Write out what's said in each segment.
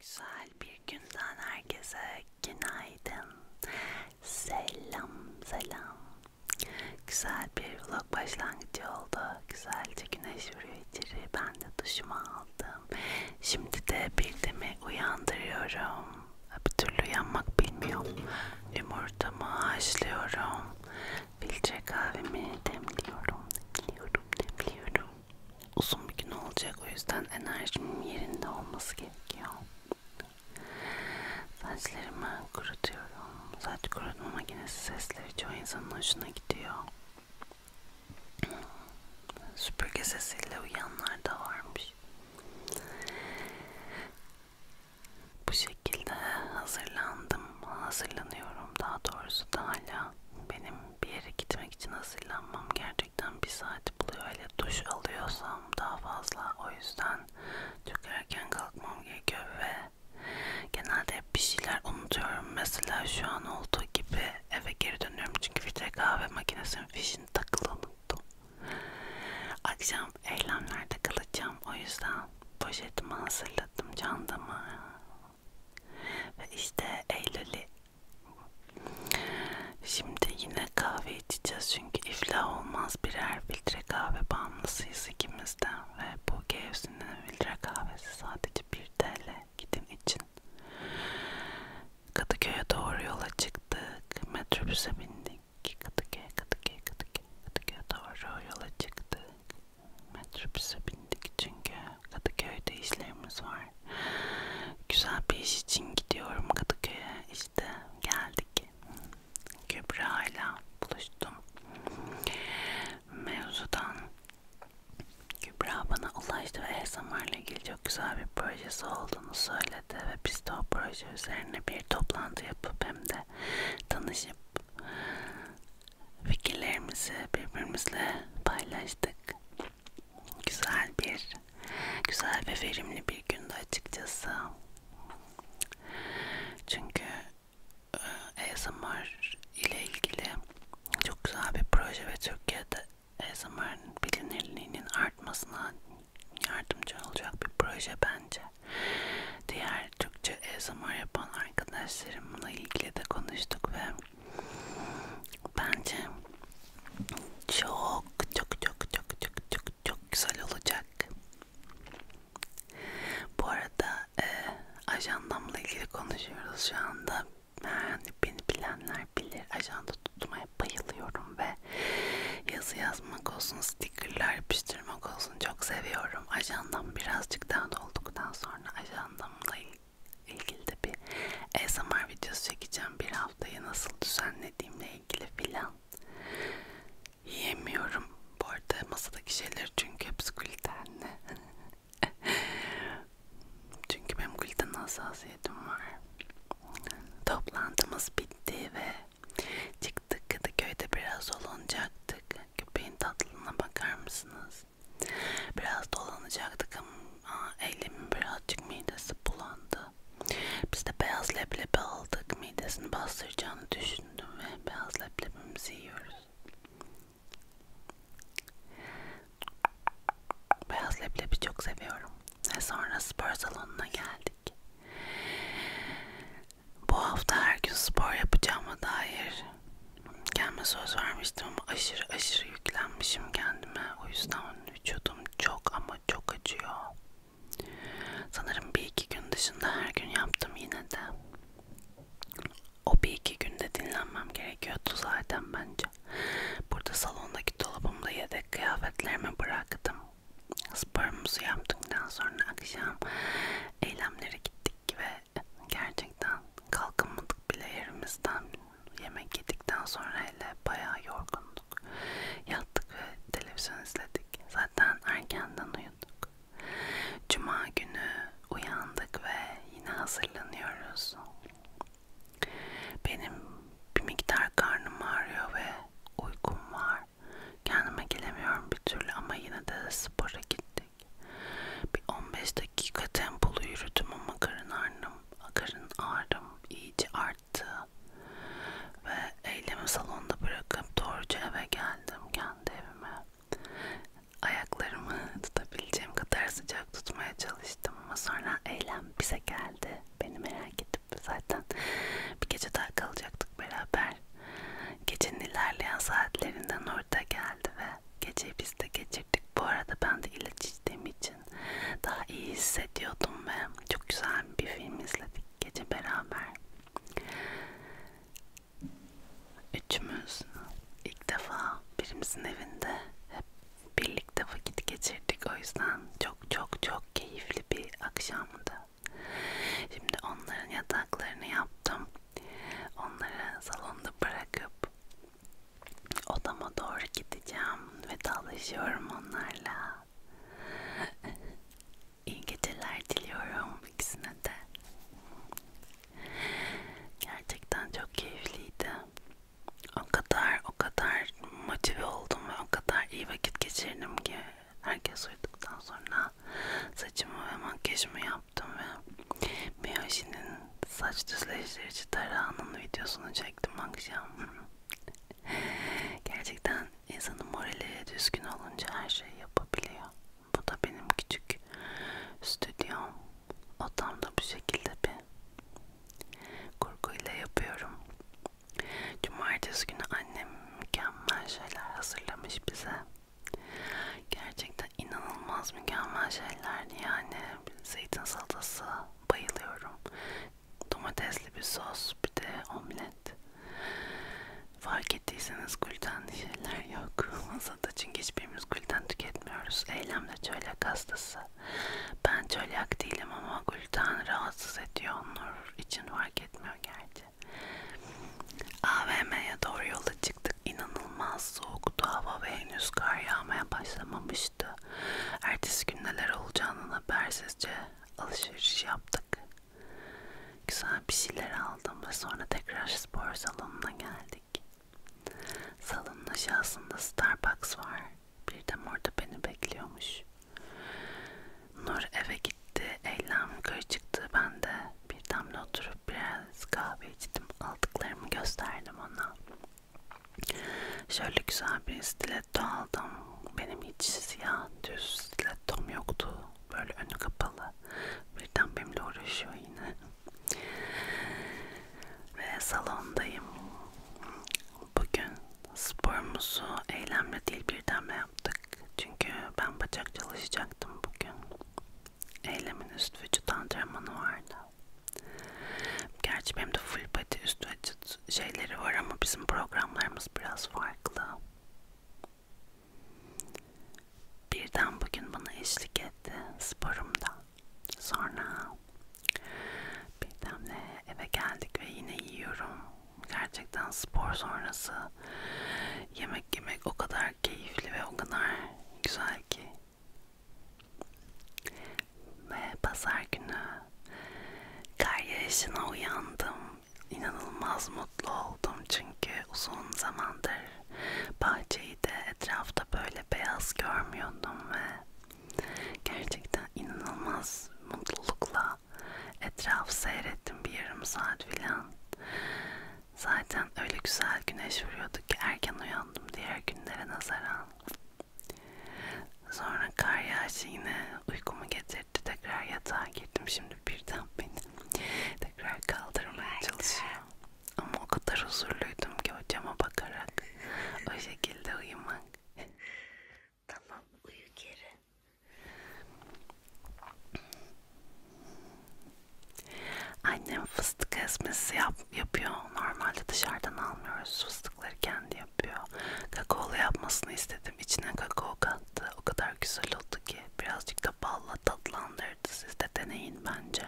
Güzel bir günden herkese günaydın. Selam selam. Güzel bir vlog başlangıcı oldu. Güzelce güneş vuruyor içeri. Ben de duşumu aldım. Şimdi de Bildiğimi uyandırıyorum. Bir türlü yanmak bilmiyor. Yumurtamı haşlıyorum. Filtre kahvemi demliyorum. Demliyorum, demliyorum. Uzun bir gün olacak o yüzden enerjimin yerinde olması gerekiyor. Saçlarımı kurutuyorum. Saç kurutma makinesi sesleri çoğu insanın hoşuna gidiyor. Süpürge sesiyle uyanlar da varmış. Bu şekilde hazırlandım. Hazırlanıyorum daha doğrusu da hala. Benim bir yere gitmek için hazırlanmam gerçekten bir saat buluyor. Hele duş alıyorsam daha fazla. O yüzden çok erken kalkmam gerekiyor ve genelde hep bir şeyler unutuyorum. Mesela şu an olduğu gibi eve geri dönüyorum çünkü filtre kahve makinesinin fişini takılı unuttum. Akşam eylemlerde kalacağım. O yüzden poşetimi hazırladım çantamı. Ve işte Eylül'ü. Şimdi yine kahve içeceğiz çünkü iflah olmaz birer filtre kahve bağımlısıyız ikimiz de. Ve bu Gevsin'in filtre kahvesi sadece 1 TL gidin için. Kadıköy'e doğru yola çıktık. Metrobüse bindik iki Kadıköy'e, Kadıköy'e, Kadıköy'e, Kadıköy'e doğru yola çıktık. Metrobüse bindik çünkü Kadıköy'de işlerimiz var. Güzel bir iş için gidiyorum Kadıköy'e. İşte geldik. Kübra ile buluştum. Mevzudan Kübra bana ulaştı ve ASMR ile ilgili çok güzel bir projesi olduğunu söyledi ve biz de o proje üzerine bir toplantı yapıp hem de tanışıp fikirlerimizi birbirimizle paylaştık. Güzel bir, güzel ve verimli bir gündü açıkçası. Çünkü e, ASMR ile ilgili çok güzel bir proje ve Türkiye'de ASMR'ın bilinirliğinin artmasına yardımcı olacak bir proje bence. Diğer Türkçe ASMR yapan arkadaşlarımla ilgili de konuştuk ve bence çok çok çok çok çok çok çok güzel olacak. Bu arada e, ajandamla ilgili konuşuyoruz şu anda. Yani beni bilenler olanlar bilir ajanda tutmaya bayılıyorum ve yazı yazmak olsun, stickerlar yapıştırmak olsun çok seviyorum. Ajandam birazcık daha dolduktan sonra ajandamla ilgili de bir ASMR videosu çekeceğim. Bir haftayı nasıl düzenlediğimle ilgili filan. Yiyemiyorum bu arada masadaki şeyler çünkü hepsi glutenli. çünkü benim gluten hassasiyetim var. Toplantımız bitti ve çıktık Kadıköy'de biraz dolanacaktık. Köpeğin tatlılığına bakar mısınız? Biraz dolanacaktık ama elimin birazcık midesi bulandı. Biz de beyaz leblebi aldık. Midesini bastıracağını düşündüm ve beyaz leblebimizi yiyoruz. Beyaz leblebi çok seviyorum. Ve sonra spor salonuna geldik. Bu hafta her gün spor yapacağıma dair kendime söz vermiştim ama aşırı aşırı yüklenmişim kendime. O yüzden vücudum çok ama çok acıyor. Sanırım bir iki gün dışında her gün yaptım yine de. O bir iki günde dinlenmem gerekiyordu zaten bence. Burada salondaki dolabımda yedek ve kıyafetlerimi bıraktım. Sporumuzu yaptıktan sonra akşam eylemlere gittik ve gerçekten kalkamadık bile yerimizden. Yemek yedikten sonra hele bayağı yorgunduk. Yattık ve televizyon izledik. Zaten erkenden uyuduk. Cuma günü uyandık ve yine hazırlanıyoruz. Benim bir miktar karnım ağrıyor ve uykum var. Kendime gelemiyorum bir türlü ama yine de spora gittik. Bir 15 dakika tempolu yürüdüm ama karın ağrım, karın ağrım iyice arttı. Ve eylemi salonda bırakıp doğruca eve geldim kendi evime. Ayaklarımı tutabileceğim kadar sıcak olarak tutmaya çalıştım ama sonra eylem bize geldi beni merak edip zaten bir gece daha kalacaktık beraber gecenin ilerleyen saatlerinden orada geldi ve geceyi biz de geçirdik bu arada ben de ilaç içtiğim için daha iyi hissediyordum ve çok güzel bir film izledik gece beraber Üçümüz ilk defa birimizin evinde hep birlikte vakit geçirdik o yüzden çok çok çok keyifli bir akşamdı. Şimdi onların yataklarını yaptım. Onları salonda bırakıp odama doğru gideceğim. Vedalaşıyorum onlarla. İyi geceler diliyorum ikisine de. Gerçekten çok keyifliydi o kadar o kadar motive oldum ve o kadar iyi vakit geçirdim ki herkes uyuduktan sonra saçımı ve makyajımı yaptım ve Miyoshi'nin saç düzleştirici tarağının videosunu çektim akşam. Gerçekten insanın morali düzgün olunca her şeyi yapabiliyor. Bu da benim küçük stüdyom. Odamda bu şekilde bir kurguyla yapıyorum. Cumartesi günü annem mükemmel şeyler hazırlamış bize. Gerçekten inanılmaz mükemmel şeylerdi yani. Zeytin salatası bayılıyorum. Domatesli bir sos bir de omlet. Fark ettiyseniz glutenli şeyler yok masada çünkü hiçbirimiz gluten tüketmiyoruz. Eylemle çölyak hastası. Ben çölyak değilim ama gluten rahatsız ediyor. Nur için fark etmiyor gerçi. AVM'ye doğru yola çıktık. İnanılmaz soğuktu hava ve henüz kar yağmaya başlamamıştı. Ertesi gün neler olacağını habersizce alışveriş yaptık. Güzel bir şeyler aldım ve sonra tekrar spor salonuna geldik. Salonun aşağısında Starbucks var. Bir de orada beni bekliyormuş. Nur eve gitti. Eylem yukarı çıktı. Ben de bir damla oturup biraz kahve içtim. Aldıklarımı gösterdim ona. Şöyle güzel bir stiletto aldım. Benim hiç siyah düz stilettom yoktu. Böyle önü kapalı. Birden benimle uğraşıyor yine. Ve salondayım. Bugün sporumuzu eylemle değil birdenme yaptık. Çünkü ben bacak çalışacaktım bugün. Eylemin üst vücut antrenmanı vardı. Gerçi benim de full body üst vücut şeyleri var ama bizim programlarımız biraz farklı. Birden bugün bana eşlik etti sporumda. Sonra Birdenle eve geldik ve yine yiyorum. Gerçekten spor sonrası yemek yemek o kadar keyifli ve o kadar güzel ki. Ve pazar günü kar yağışına uyandım. İnanılmaz mutlu oldum çünkü uzun zamandır Bahçeyi de etrafta böyle beyaz görmüyordum ve gerçekten inanılmaz mutlulukla etraf seyrettim bir yarım saat filan. Zaten öyle güzel güneş vuruyordu ki erken uyandım diğer günlere nazaran. Sonra kar yağışı yine uykumu getirdi. Tekrar yatağa girdim. Şimdi birden beni tekrar kaldırmaya çalışıyor. Ama o kadar huzurluydum ki hocama bakarak o şekilde uyumak. tamam uyu geri. Annem fıstık ezmesi yap, yapıyor. Normalde dışarıdan almıyoruz. Fıstıkları kendi yapıyor. Kakaolu yapmasını istedim. İçine kakao kattı. O kadar güzel oldu ki. Birazcık da balla tatlandı olabilirdi. Siz de deneyin bence.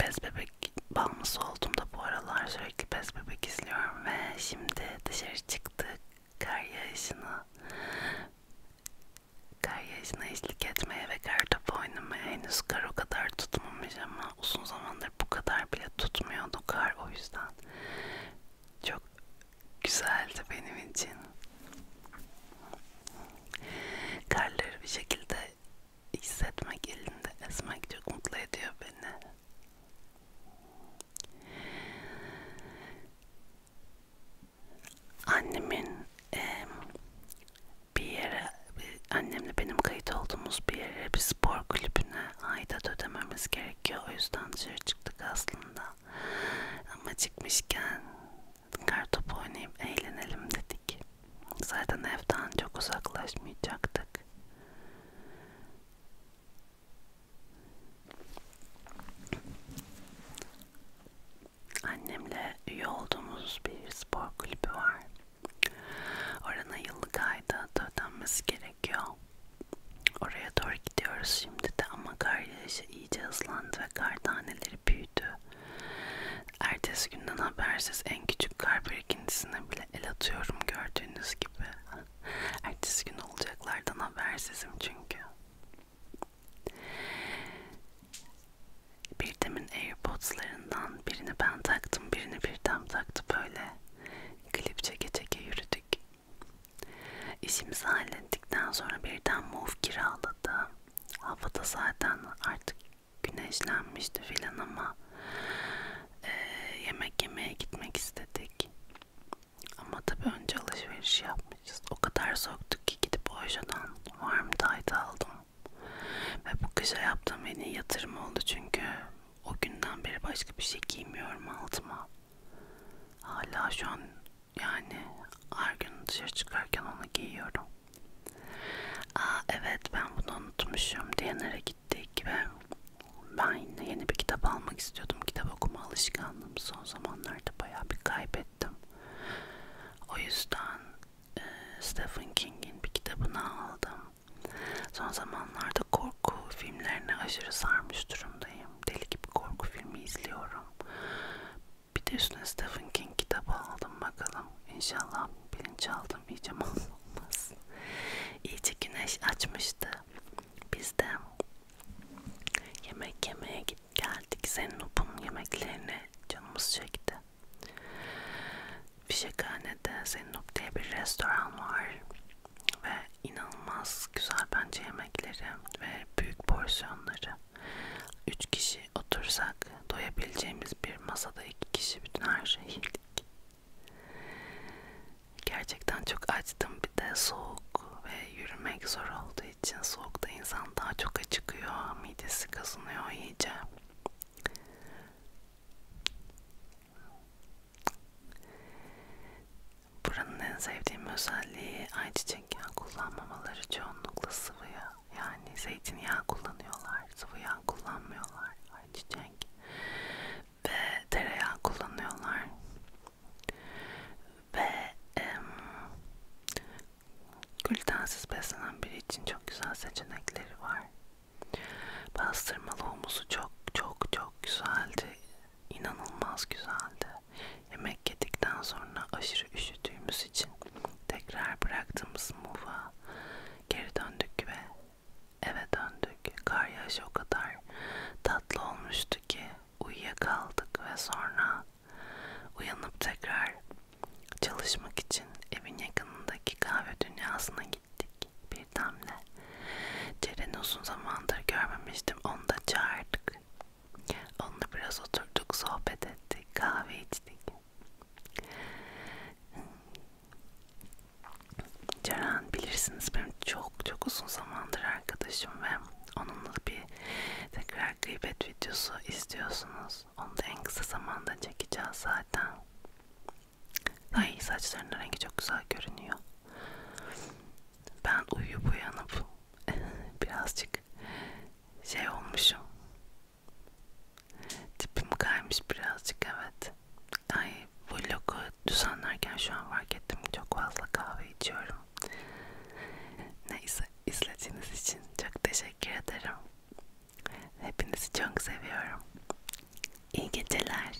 Bez bebek bağımlısı oldum da bu aralar sürekli bez bebek izliyorum ve şimdi dışarı çıktık kar yağışına kar yağışına eşlik etmeye ve kar topu oynamaya henüz kar o kadar tutmamış ama uzun zamandır bu kadar bile tutmuyordu kar o yüzden çok güzeldi benim için Karları bir şekilde hissetmek, elinde esmek çok mutlu ediyor beni. Annemin e, bir yere, bir, annemle benim kayıt olduğumuz bir yere, bir spor kulübüne aidat ödememiz gerekiyor. O yüzden dışarı çıktık aslında. Ama çıkmışken kartopu oynayıp eğlenelim dedik. Zaten evden çok uzaklaşmayacaktık. Annemle üye olduğumuz bir spor kulübü var. Orana yıllık ayda da ödenmesi gerekiyor. Oraya doğru gidiyoruz şimdi de ama kar ateşi iyice hızlandı ve kar taneleri büyüdü. Ertesi günden habersiz en küçük kar birikintisine bile el atıyorum gördüğünüz gibi. Ertesi gün olacaklardan habersizim çünkü. Birdemin Airpods'larından birini ben taktım, birini birdem taktı böyle. Klip çeke çeke yürüdük. İşimizi hallettikten sonra birden muf kiraladı. Havada zaten artık güneşlenmişti filan ama e, yemek yemeye gitmek istedik. Ama tabi önce alışveriş yapmışız. O kadar soğuktuk ki gidip Ojo'dan warm tide aldım. Ve bu kışa yaptığım en iyi yatırım oldu çünkü o günden beri başka bir şey giymiyorum altıma. Hala şu an yani her gün dışarı çıkarken onu giyiyorum. Aa evet ben bunu unutmuşum. Diyanara gittik ve ben yine yeni bir kitap almak istiyordum. Kitap okuma alışkanlığım son zamanlarda bayağı bir kaybettim. O yüzden e, Stephen King'in bir kitabını aldım. Son zamanlarda korku filmlerine aşırı sarmış durumdayım. Deli gibi korku filmi izliyorum. Bir de üstüne Stephen King kitabı aldım bakalım. İnşallah bilinçaltım iyice mahvolmaz. İyice güneş açmıştı. Biz de yemek yemeye git geldik. Zennup'un yemeklerine canımız çekti. Fişekhane'de Zennup diye bir restoran var. Ve inanılmaz güzel bence yemekleri ve büyük porsiyonları. 3 kişi otursak doyabileceğimiz bir masada 2 kişi bütün her şeyi yedik. Gerçekten çok açtım bir de soğuk ve yürümek zor olduğu için soğukta insan daha çok acıkıyor, midesi kazınıyor iyice. Buranın en sevdiğim özelliği ayçiçek yağı kullanmamaları çoğunlukla sıvı yağ. Yani zeytinyağı kullanıyorlar, sıvı yağ kullanmıyorlar ayçiçek ve tereyağı kullanıyorlar ve em, glutensiz beslenen biri için çok güzel seçenekleri var. Bastırmalı humusu çok çok çok güzeldi. İnanılmaz güzeldi. Yemek yedikten sonra aşırı üşüdüğümüz için tekrar bıraktığımız muva geri döndük ve eve döndük. Kar yağışı o kadar tatlı olmuştu ki uyuyakaldık ve sonra uyanıp tekrar çalışmak için evin yakınındaki kahve dünyasına gittik. Bir damla. Ceren'i uzun zamandır görmemiştim. Onu da çağırdık bugün. Onunla biraz oturduk, sohbet ettik, kahve içtik. Ceren bilirsiniz benim çok çok uzun zamandır arkadaşım ve onunla bir tekrar gıybet videosu istiyorsunuz. Onu da en kısa zamanda çekeceğiz zaten. Ay saçlarının rengi çok güzel görünüyor ben uyuyup uyanıp birazcık şey olmuşum tipim kaymış birazcık evet ay vlogu düzenlerken şu an fark ettim çok fazla kahve içiyorum neyse izlediğiniz için çok teşekkür ederim hepinizi çok seviyorum İyi geceler